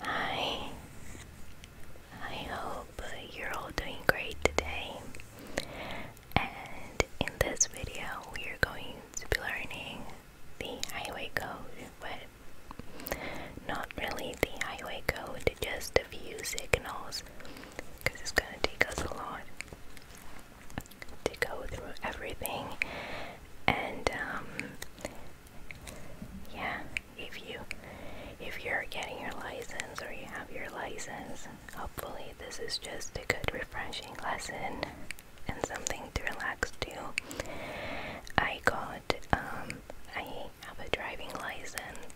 Hi, I hope you're all doing great today. And in this video, we are going to be learning the highway code, but not really the highway code, just a few signals because it's gonna take us a lot to go through everything. And um, yeah, if you if you're getting your license or you have your license, hopefully this is just a good refreshing lesson and something to relax to. I got um, I have a driving license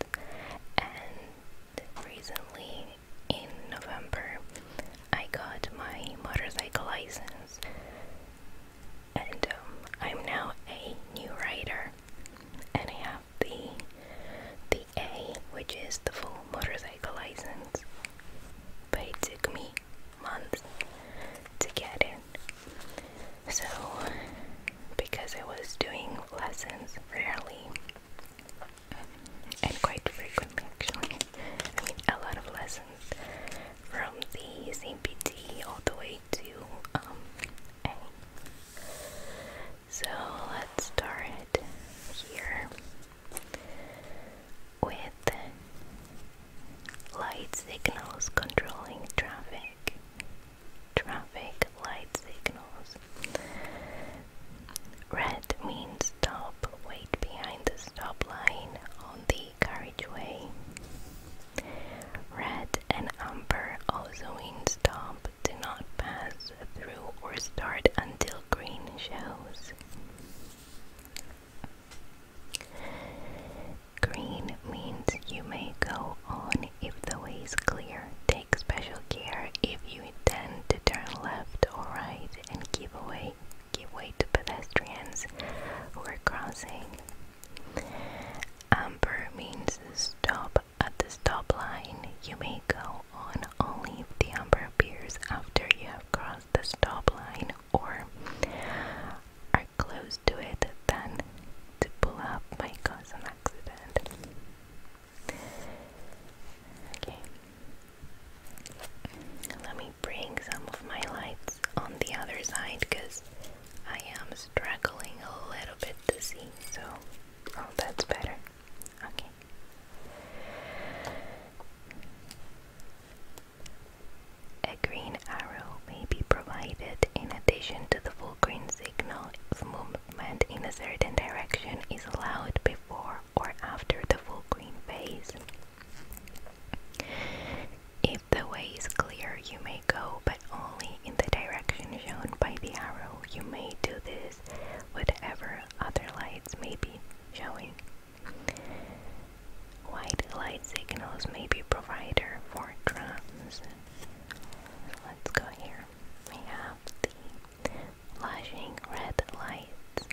and recently in November I got my motorcycle license and um, I'm now a new rider, and I have the the A, which is the full motorcycle license. But it took me months to get it. So, because I was doing lessons rarely and quite frequently, actually, I mean, a lot of lessons from the CPT all the way to um, A. So let's start here with light signals controlling traffic. Traffic light signals. Red means stop, wait behind the stop line on the carriageway. Red and amber also in stop do not pass through or start until green shows. Green means you may go on if the way is clear. Take special care if you intend to turn left or right and give away give way to pedestrians who are crossing. Amber means stop at the stop line. You may go on only if the amber appears after you have crossed the stop line or are close to it then to pull up might cause an accident. Okay. Let me bring some of my lights on the other side because I am struggling a little bit to see. So, oh, that's better. Okay. A green arrow may be provided in addition to the full green signal movement in a certain direction is allowed before or after the full green phase the way is clear, you may go, but only in the direction shown by the arrow. You may do this, whatever other lights may be showing. White light signals may be provider for drums. Let's go here. We have the flashing red lights.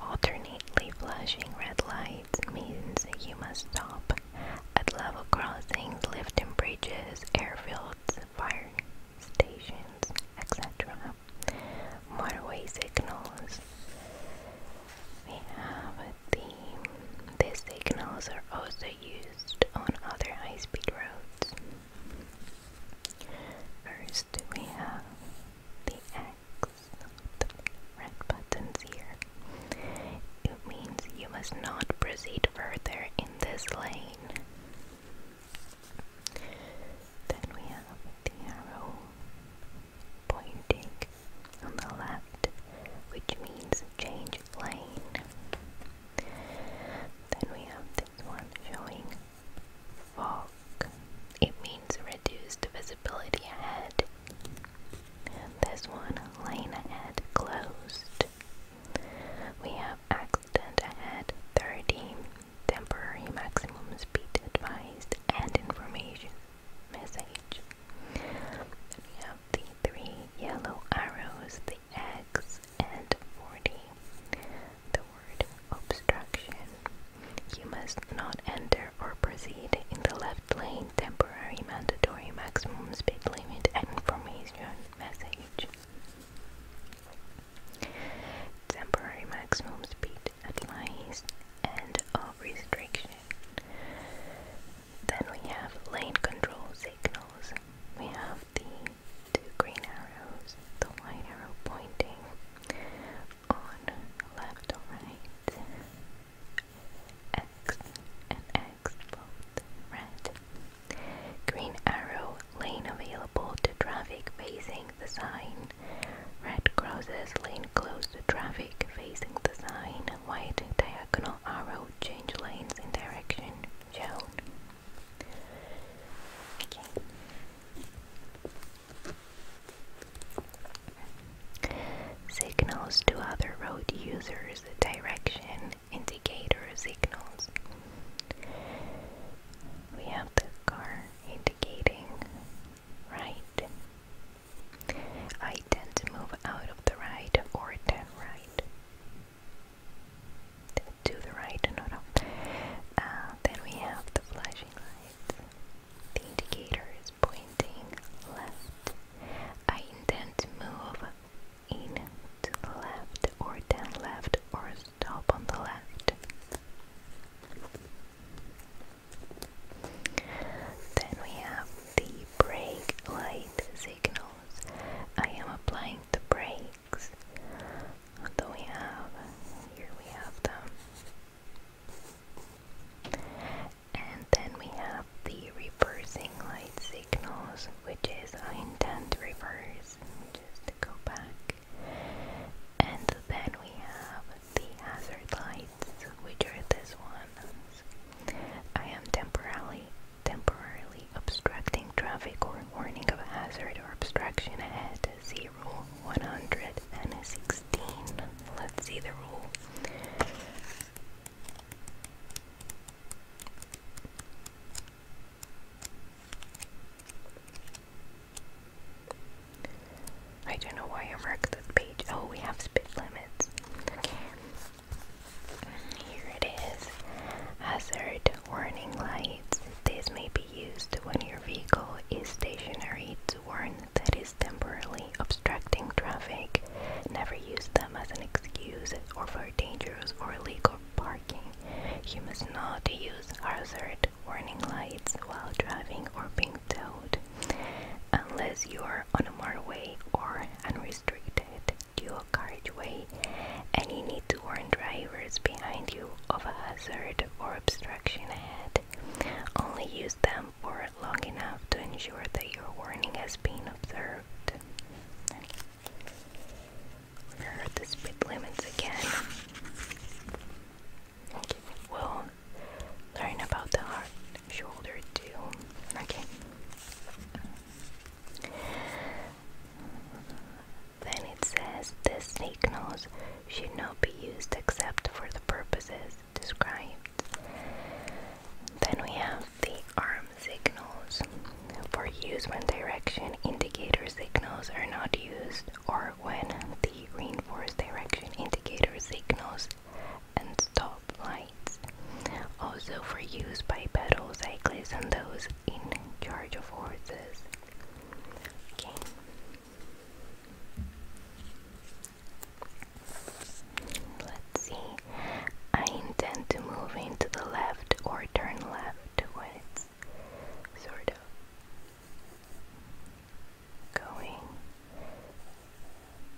Alternately flashing red lights means you must stop at level crossings, lifting bridges, airfields, fire stations, etc. Motorway signals. We have a These signals are also used on other high speed roads. First, we have the X, red buttons here. It means you must not proceed further in this lane. Then we have the arrow pointing on the left, which means change lane. Then we have this one showing fog. It means reduced visibility ahead. And this one, lane ahead closed. We have accident ahead 30, temporary maximum speed advised, and information message. we have the three yellow arrows, the X, and 40 the word obstruction. You must not enter or proceed in the left lane, temporary, mandatory, maximum speed limit, and information message. Temporary maximum speed at advice and of restriction. Then we have lane control signals. We have the two green arrows, the white arrow pointing on left or right, X and X both red. Green arrow lane available to traffic facing the sign. Red crosses lane closed to traffic facing the sign. White diagonal arrow change lanes in direction shown. Okay. Signals to other road users, direction indicator signals. We have the car indicating right. I tend to move out of the right or the right to the right, no, no. Uh, then we have the flashing lights. The indicator is pointing left. I intend to move in to the left, or down left, or stop on the left. Then we have the brake light signals. I am applying the brake cheeks. What do we have? Here we have them. And then we have the reversing light signals, which is I reverse, just go back. And then we have the hazard lights, which are this one. I am temporarily temporarily obstructing traffic or warning of hazard or obstruction ahead. 116. Let's see the rule. I don't know why I marked this page. Oh, we have speed limits. Okay. Here it is. Hazard warning lights. These may be be used when your vehicle is stationary to warn that is temporarily obstructing traffic. Never use them as an excuse or for dangerous or illegal parking. You must not use hazard warning lights while driving or being towed unless you are on a motorway or unrestricted dual carriageway and you need to warn drivers behind you of a hazard or obstruction ahead. Only use them for long enough to ensure that your warning has been observed. Here are the speed limits again. we'll learn about the hard shoulder too. Okay. Then it says the snake should not be used except for the purposes described. Then we have the arm signals. For use when direction indicator signals are not used or when the reinforced direction indicator signals and stop lights. Also for use by pedal cyclists and those in charge of horses. Okay. Let's see. I intend to move into the left or turn left sort of going.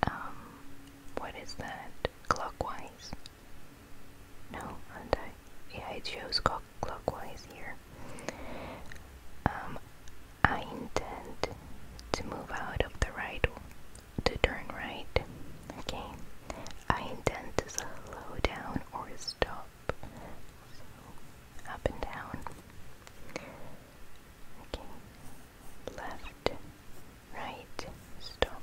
Um, what is that? Clockwise? No, and I yeah, it shows clo clockwise here. Um, I intend to move out of the right to turn right. Okay. I intend to slow down or stop. up and down. Okay. Left, right, stop.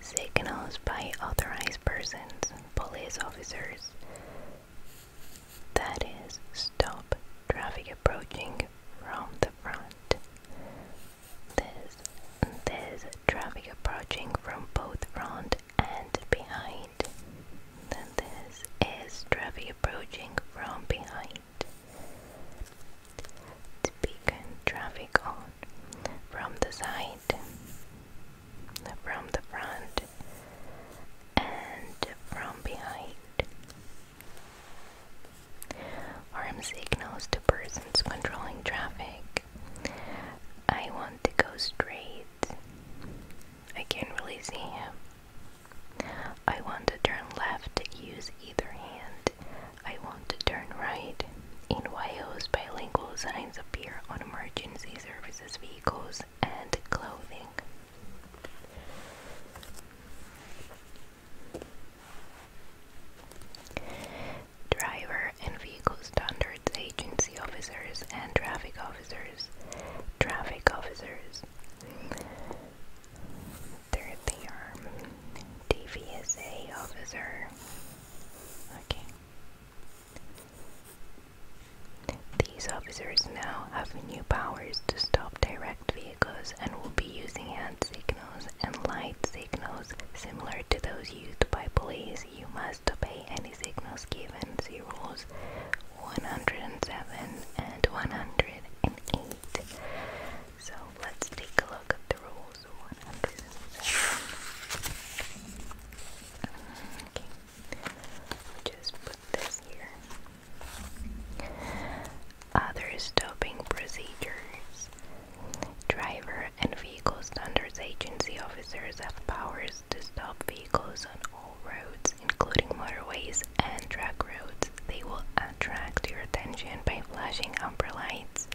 Signals by authorized persons, police officers. That is, stop traffic approaching from the front. This, this traffic approaching from both front and behind. Then this is traffic approaching from behind to traffic on from the side, from the front, and from behind. Arm signals to persons controlling traffic. I want to go straight. I can't really see him. I want to turn left, use either hand. I want to turn right. In Wales, bilingual signs appear on emergency services vehicles and clothing. Driver and Vehicle Standards Agency officers and traffic officers. Traffic officers. Thirdly, arm um, DVSA officer. Okay. These officers now have new powers to stop direct vehicles and will be using hand signals and light signals similar to those used by police. You must obey any signals given, see rules 107 and 108. So let's take a look at the rules. 107. Okay. Just put this here. Other stopping procedures. Driver and Vehicle Standards Agency officers have powers to stop vehicles on all roads, including motorways and track roads. They will attract your attention by flashing amber lights,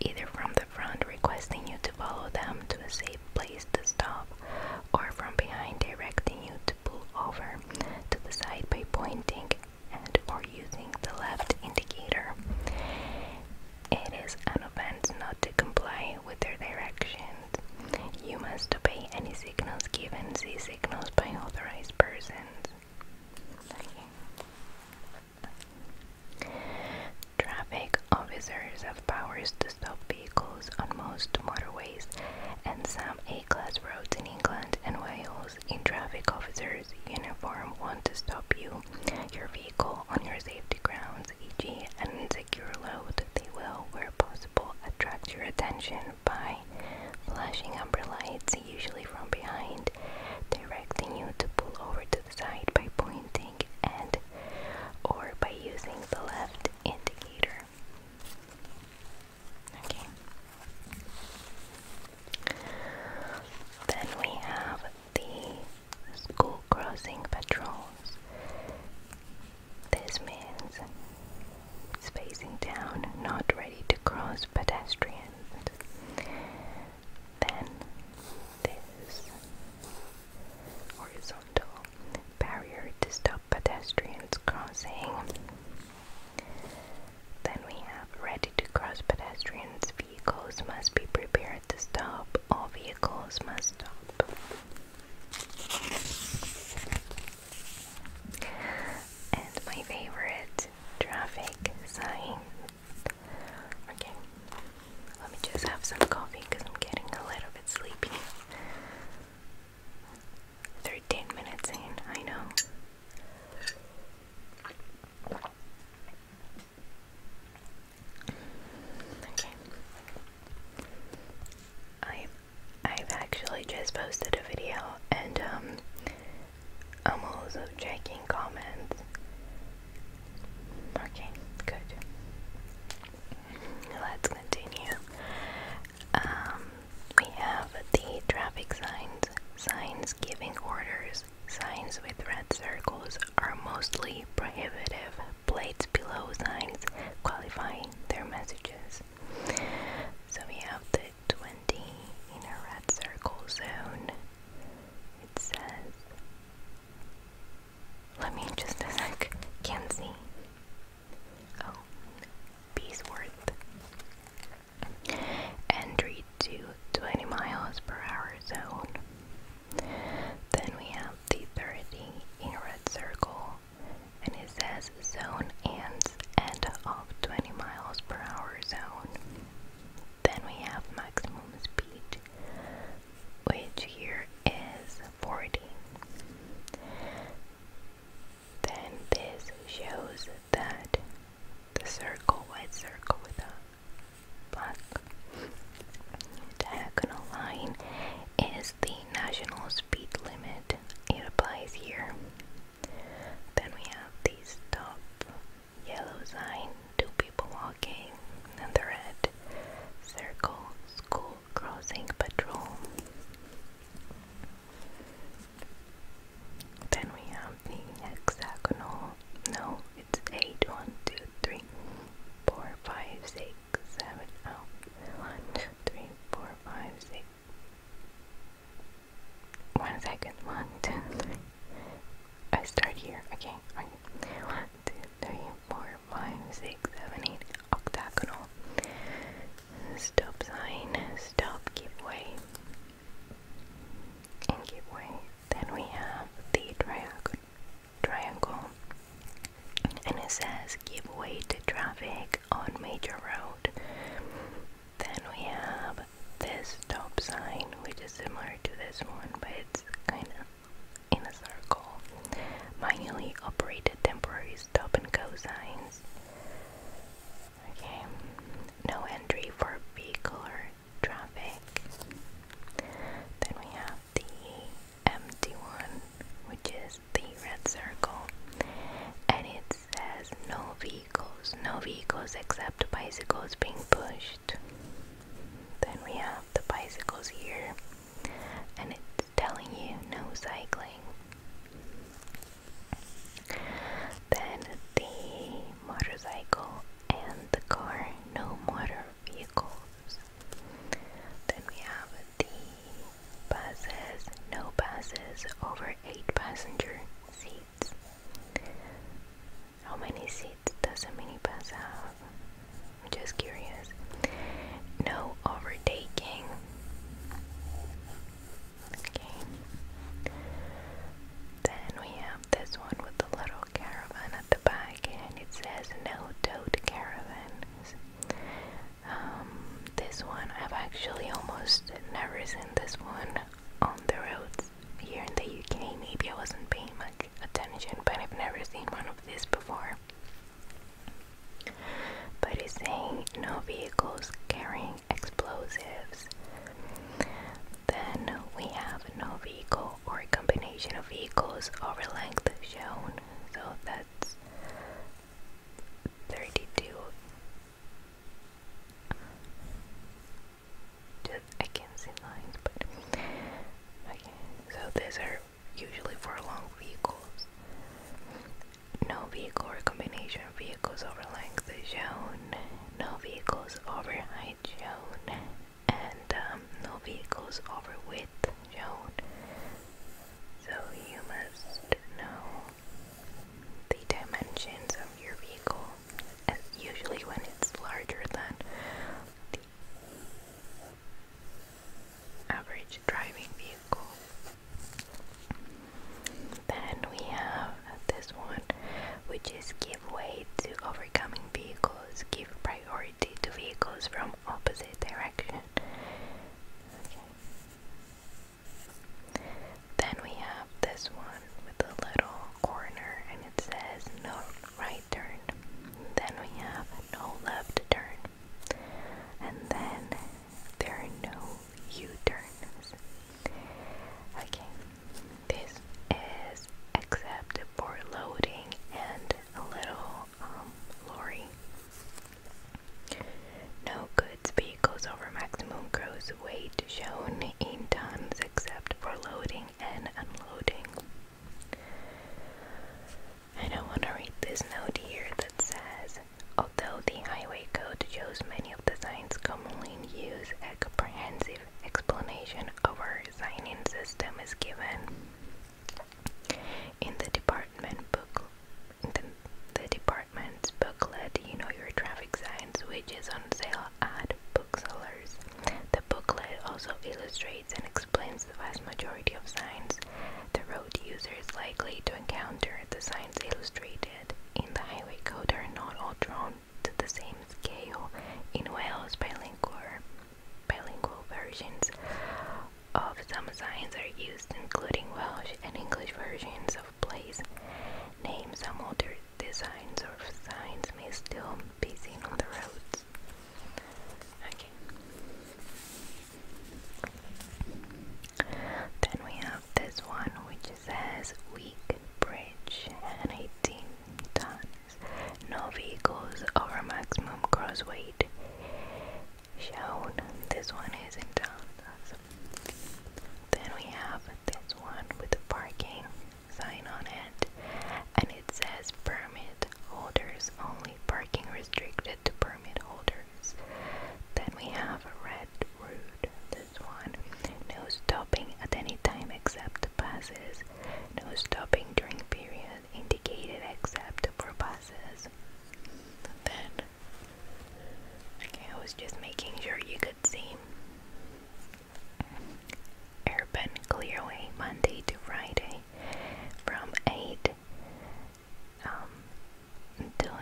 either from the front requesting you to follow them to a safe place to stop, or from behind directing you to pull over to the side by pointing and or using the left indicator. It is an offense not to comply with their directions. You must obey any signals given, see signals by authorized persons. Traffic officers have powers to stop vehicles on most motorways and some A-class roads in England and Wales. In traffic officers' uniform, want to stop you, your vehicle on your safety grounds, e.g., an insecure load. They will, where possible, attract your attention by flashing amber lights, usually from behind, directing you to pull over to the side by pointing and or by using the left indicator. Okay. Then we have the school crossing patrols. This means spacing down, not ready to cross pedestrians. Then this horizontal barrier to stop pedestrians crossing. Then we have ready to cross pedestrians. Vehicles must be prepared to stop. All vehicles must stop. And my favorite traffic sign. Okay, let me just have some coffee because I'm getting a little bit sleepy. 13 minutes in, I know. Okay. I I've actually just posted a video and um, I'm also checking comments. Okay, good. Let's continue. Um, we have the traffic signs. Signs giving orders. Signs with red circles are mostly prohibitive. Plates below signs qualifying their messages. So we have the 20 in a red circle zone. It says, let me just a sec, can't see. Oh, Beesworth. Entry to 20 miles per hour zone. Then we have the 30 in a red circle and it says zone ends at of 20 miles per hour zone. Then we have maximum speed, which here is 40. Then this shows that the circle, white circle with a black diagonal line, is the national speed limit it applies here. Then we have the stop yellow sign, two people walking, and the red circle school crossing patrol. Then we have the hexagonal. No, it's eight, one, two, three, four, five, six, seven, oh, one, two, three, four, five, six. One second, one, two, three. I start here, okay. One, two, three, four, five, six, seven, eight. Octagonal. Stop sign, stop, give way, and give way. Then we have the triangle. Triangle and it says give way to traffic on major road. Then we have this stop sign, which is similar to this one, but it's kind of in a circle. Manually operated temporary stop and go signs. Okay, no entry for vehicular traffic. Then we have the empty one, which is the red circle and it says no vehicles, no vehicles except bicycles being pushed. Then we have the bicycles here and it's telling you no cycling. Then the motorcycle and the car, no motor vehicles. Then we have the buses, no buses over 8 passenger seats. How many seats does a minibus have? I'm just curious. No overtaking. Okay. Then we have this one with the little caravan at the back, and it says no tote caravans. Um, this one I've actually almost never seen this one on the roads here in the UK. Maybe I wasn't paying much attention, but I've never seen one of these before. But it's saying no vehicles carrying explosives. Then we have no vehicle or combination of vehicles over length shown. So that's thirty-two. Just, I can't see lines, but So these are usually for long vehicles. No vehicle or combination vehicles over length shown. No vehicles over height shown, and um, no vehicles over width shown. So you must know the dimensions of your vehicle, as usually when it's larger than the average driving vehicle. Then we have this one, which is give way to overcoming vehicles, give priority to vehicles from opposite direction. Then we have this one with a little corner and it says no right turn. Then we have no left turn. And then there are no U-turns. Okay. This is except for loading and a little um, lorry. No goods vehicles over maximum gross weight shown in tons except for loading and unloading. And I want to read this note here that says Although the Highway Code shows many of the signs commonly used, a comprehensive explanation of our signing system is given. In the department book, the, department's booklet, you know your traffic signs, which is on sale at booksellers. The booklet also illustrates and explains the vast majority of signs the road user is likely to encounter. The signs illustrated in the highway code are not all drawn to the same scale. In Wales, bilingual bilingual versions of some signs are used, including Welsh and English versions of place names. Some older designs or signs may still be seen on the roads. Then we have this one, which says weak bridge and 18 tons. No vehicles over maximum cross weight shown. This one is in town. Then we have this one with a parking sign on it, and it says permit holders only, parking restricted to permit holders. Then we have a red road. this one, no stopping at any time except the buses, no stopping during period indicated except for buses okay, I was just making sure you could see. Urban Clearway, Monday to Friday, from 8 um, until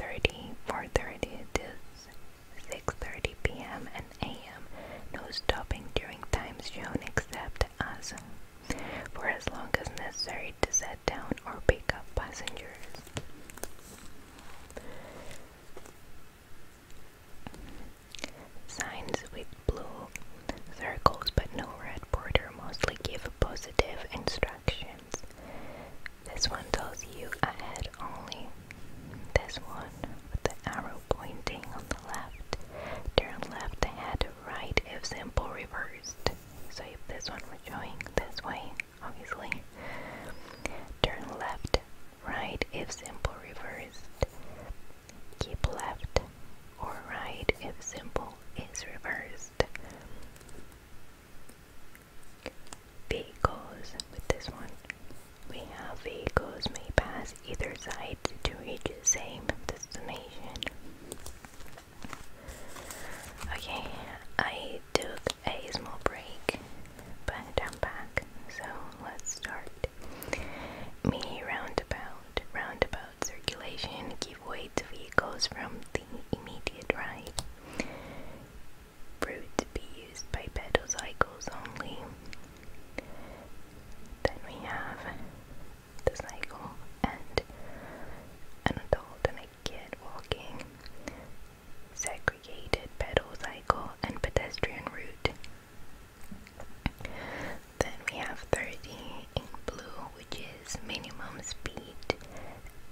9.30, to 6.30 p.m. and a.m. No stopping during times shown except as for as long as necessary to set down or pick up passengers. Signs with blue circles but no red border mostly give positive instructions. This one tells you ahead only. This one with the arrow pointing on the left, turn left ahead right if simple reversed. So if this one was going this way, obviously, turn left, right if simple reversed. Keep left or right if simple is reversed. Vehicles with this one. We have vehicles may pass either side to reach the same destination. Okay, I took a small break, but I'm back, so let's start. Mini roundabout. Roundabout circulation give way to vehicles from the immediate right. Route to be used by pedal cycles only. Then we have the cycle and an adult and a kid walking, segregated pedal cycle, and pedestrian route. Then we have 30 in blue, which is minimum speed,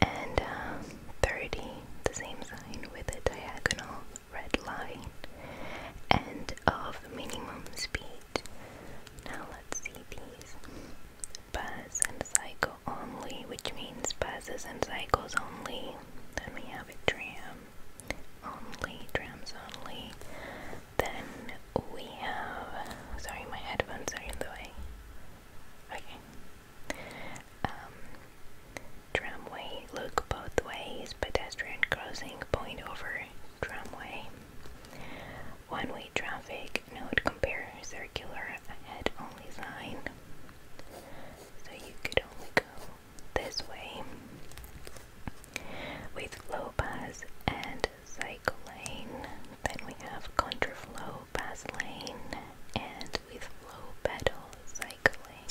and um, 30, the same sign with a diagonal red line, and of minimum speed. Now let's see these. Buzz and cycle only, which means buzzes and cycles only. Then we have tram only, trams only. Then we have. Sorry, my headphones are in the way. Okay. Um, tramway, look both ways, pedestrian crossing, point over, tramway. One-way traffic node compare circular ahead only sign. So you could only go this way with flow pass and cycle lane. Then we have contraflow pass lane and with flow pedal cycling.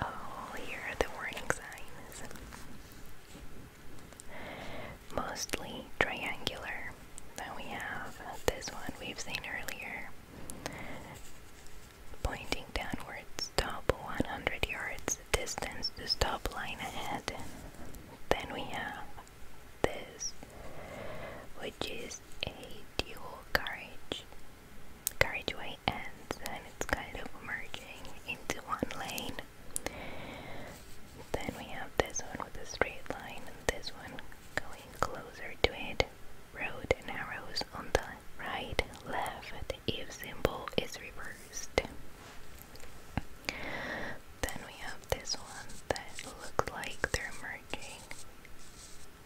Oh, here the warning signs mostly triangular. Then we have this one we've seen earlier, pointing downwards, top 100 yards distance to stop line ahead. Then we have this, which is a dual carriage way and then it's kind of merging into one lane. Then we have this one with a straight line this one going closer to it. Road narrows on the right, left, if symbol is reversed. Then we have this one that looks like they're merging,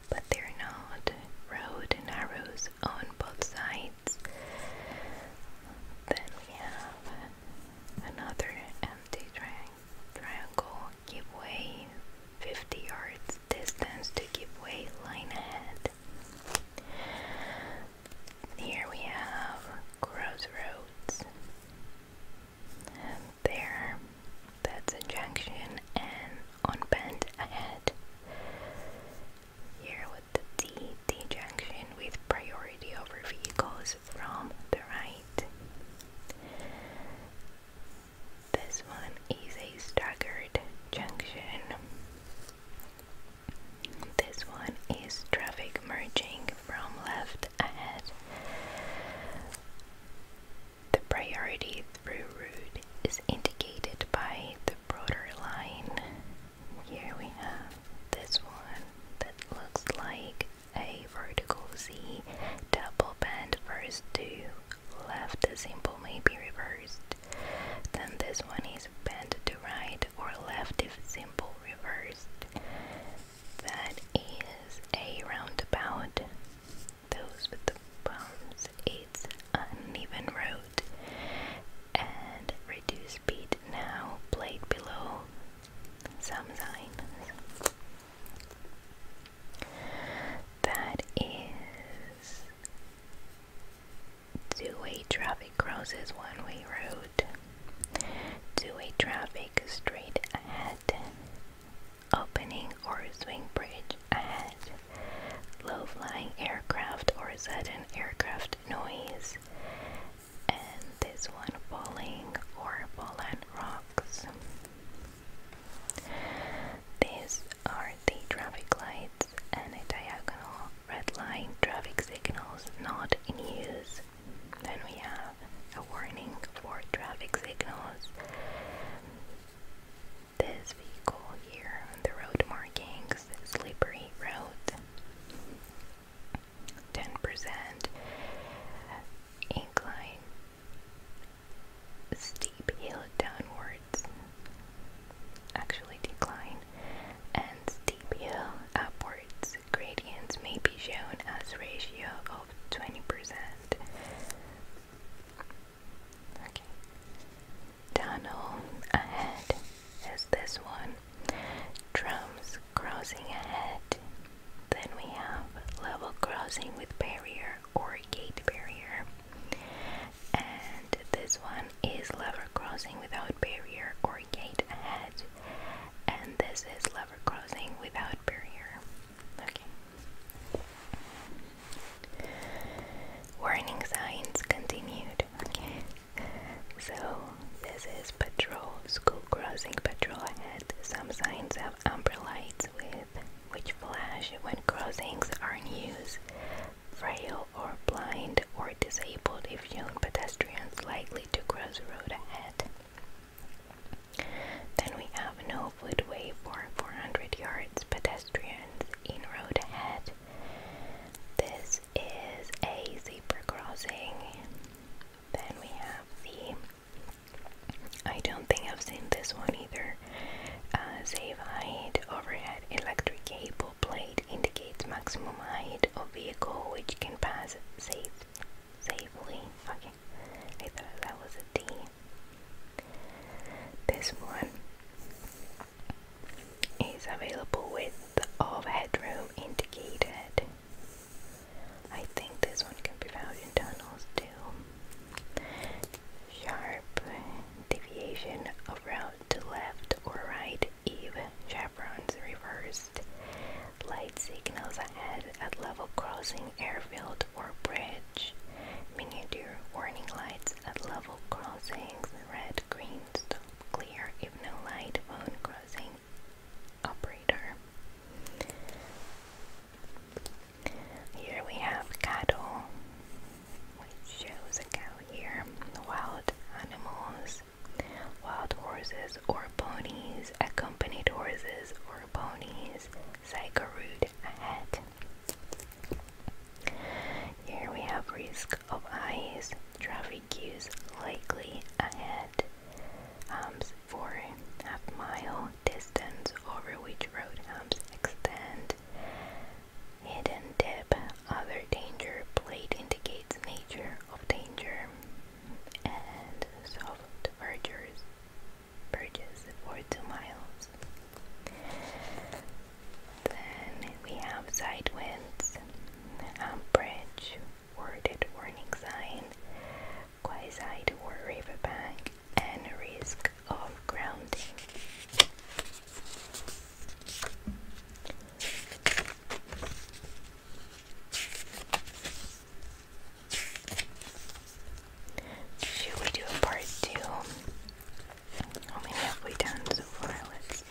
but they're not. Road narrows on both sides. Then we have another empty triangle. Give way 50 yards distance to give way line ahead. Here we have crossroads. there, that's a junction and on bend ahead. Here the D-D junction with priority over vehicles from the right. This one is a staggered junction. This one is traffic merging from left ahead. The priority through route is indicated by the broader line here we have this one that looks like a vertical Z double bend first to left The symbol may be reversed. Then this one is bent to right or left if symbol reversed. That is a roundabout. Those with the bumps its uneven road and reduce speed now played below some signs. That is two-way traffic crosses one-way road. Two-way traffic straight ahead. Opening or swing bridge ahead low flying aircraft or zed sudden aircraft noise, and this one falling or fallen rocks. These are the traffic lights and a diagonal red line traffic signals not in use. Then we have a warning for traffic signals this vehicle here on the road markings, slippery road, 10% incline, steep hill downwards, actually decline, and steep hill upwards. Gradients may be shown as ratio of 20%. Okay. Tunnel ahead is this one. Drums crossing ahead. Then we have level crossing with barrier or gate barrier. And this one is level crossing without barrier or gate ahead. And this is level crossing without barrier. Okay. Warning signs continued. Okay. So this is patrol, school crossing patrol ahead. Some signs have amber lights with which flash when crossings are in use. Frail or blind or disabled if young pedestrians likely to cross the road ahead. Then we have no footway for 400 yards pedestrians in road ahead. This is a zebra crossing. Then we have the. I don't think I've seen this one either. Uh, save height, overhead electric cable plate indicates maximum height of vehicle which can pass safe, safely. Okay, I thought that was a D. This one is available width of headroom indicated. I think this one can be found in tunnels too. Sharp deviation around route to left or right, eve chevrons reversed. Light signals ahead at level crossing, airfield or bridge. Miniature warning lights at level crossings, red, green, stop, clear, if no light, phone crossing operator. Here we have cattle, which shows a cow here, wild animals, wild horses or ponies, accompanied horses or ponies, psycho route here we have risk of ice. traffic cues likely ahead, humps for half mile distance over which road humps extend, hidden dip, other danger, plate indicates nature of danger, and soft vergers, bridges for two miles. Then we have side winds, umbrage, worded warning sign, quayside or riverbank, and risk of grounding. Should we do a part two? Only halfway done so far. Let's see.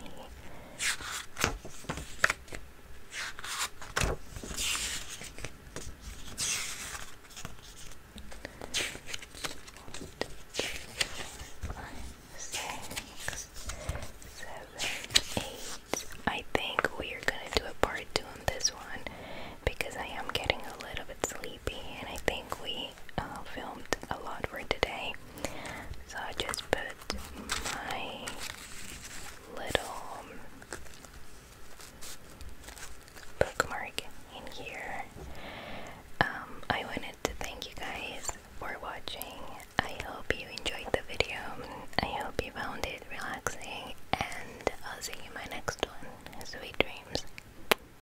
Five, six, seven, eight. I think we are gonna do a part two on this one because I am getting a little bit sleepy and I think we uh, filmed a lot for today. So I just put my little um, bookmark in here. Um, I wanted to thank you guys for watching. I hope you enjoyed the video. I hope you found it relaxing, and I'll see you in my next one. Sweet dreams.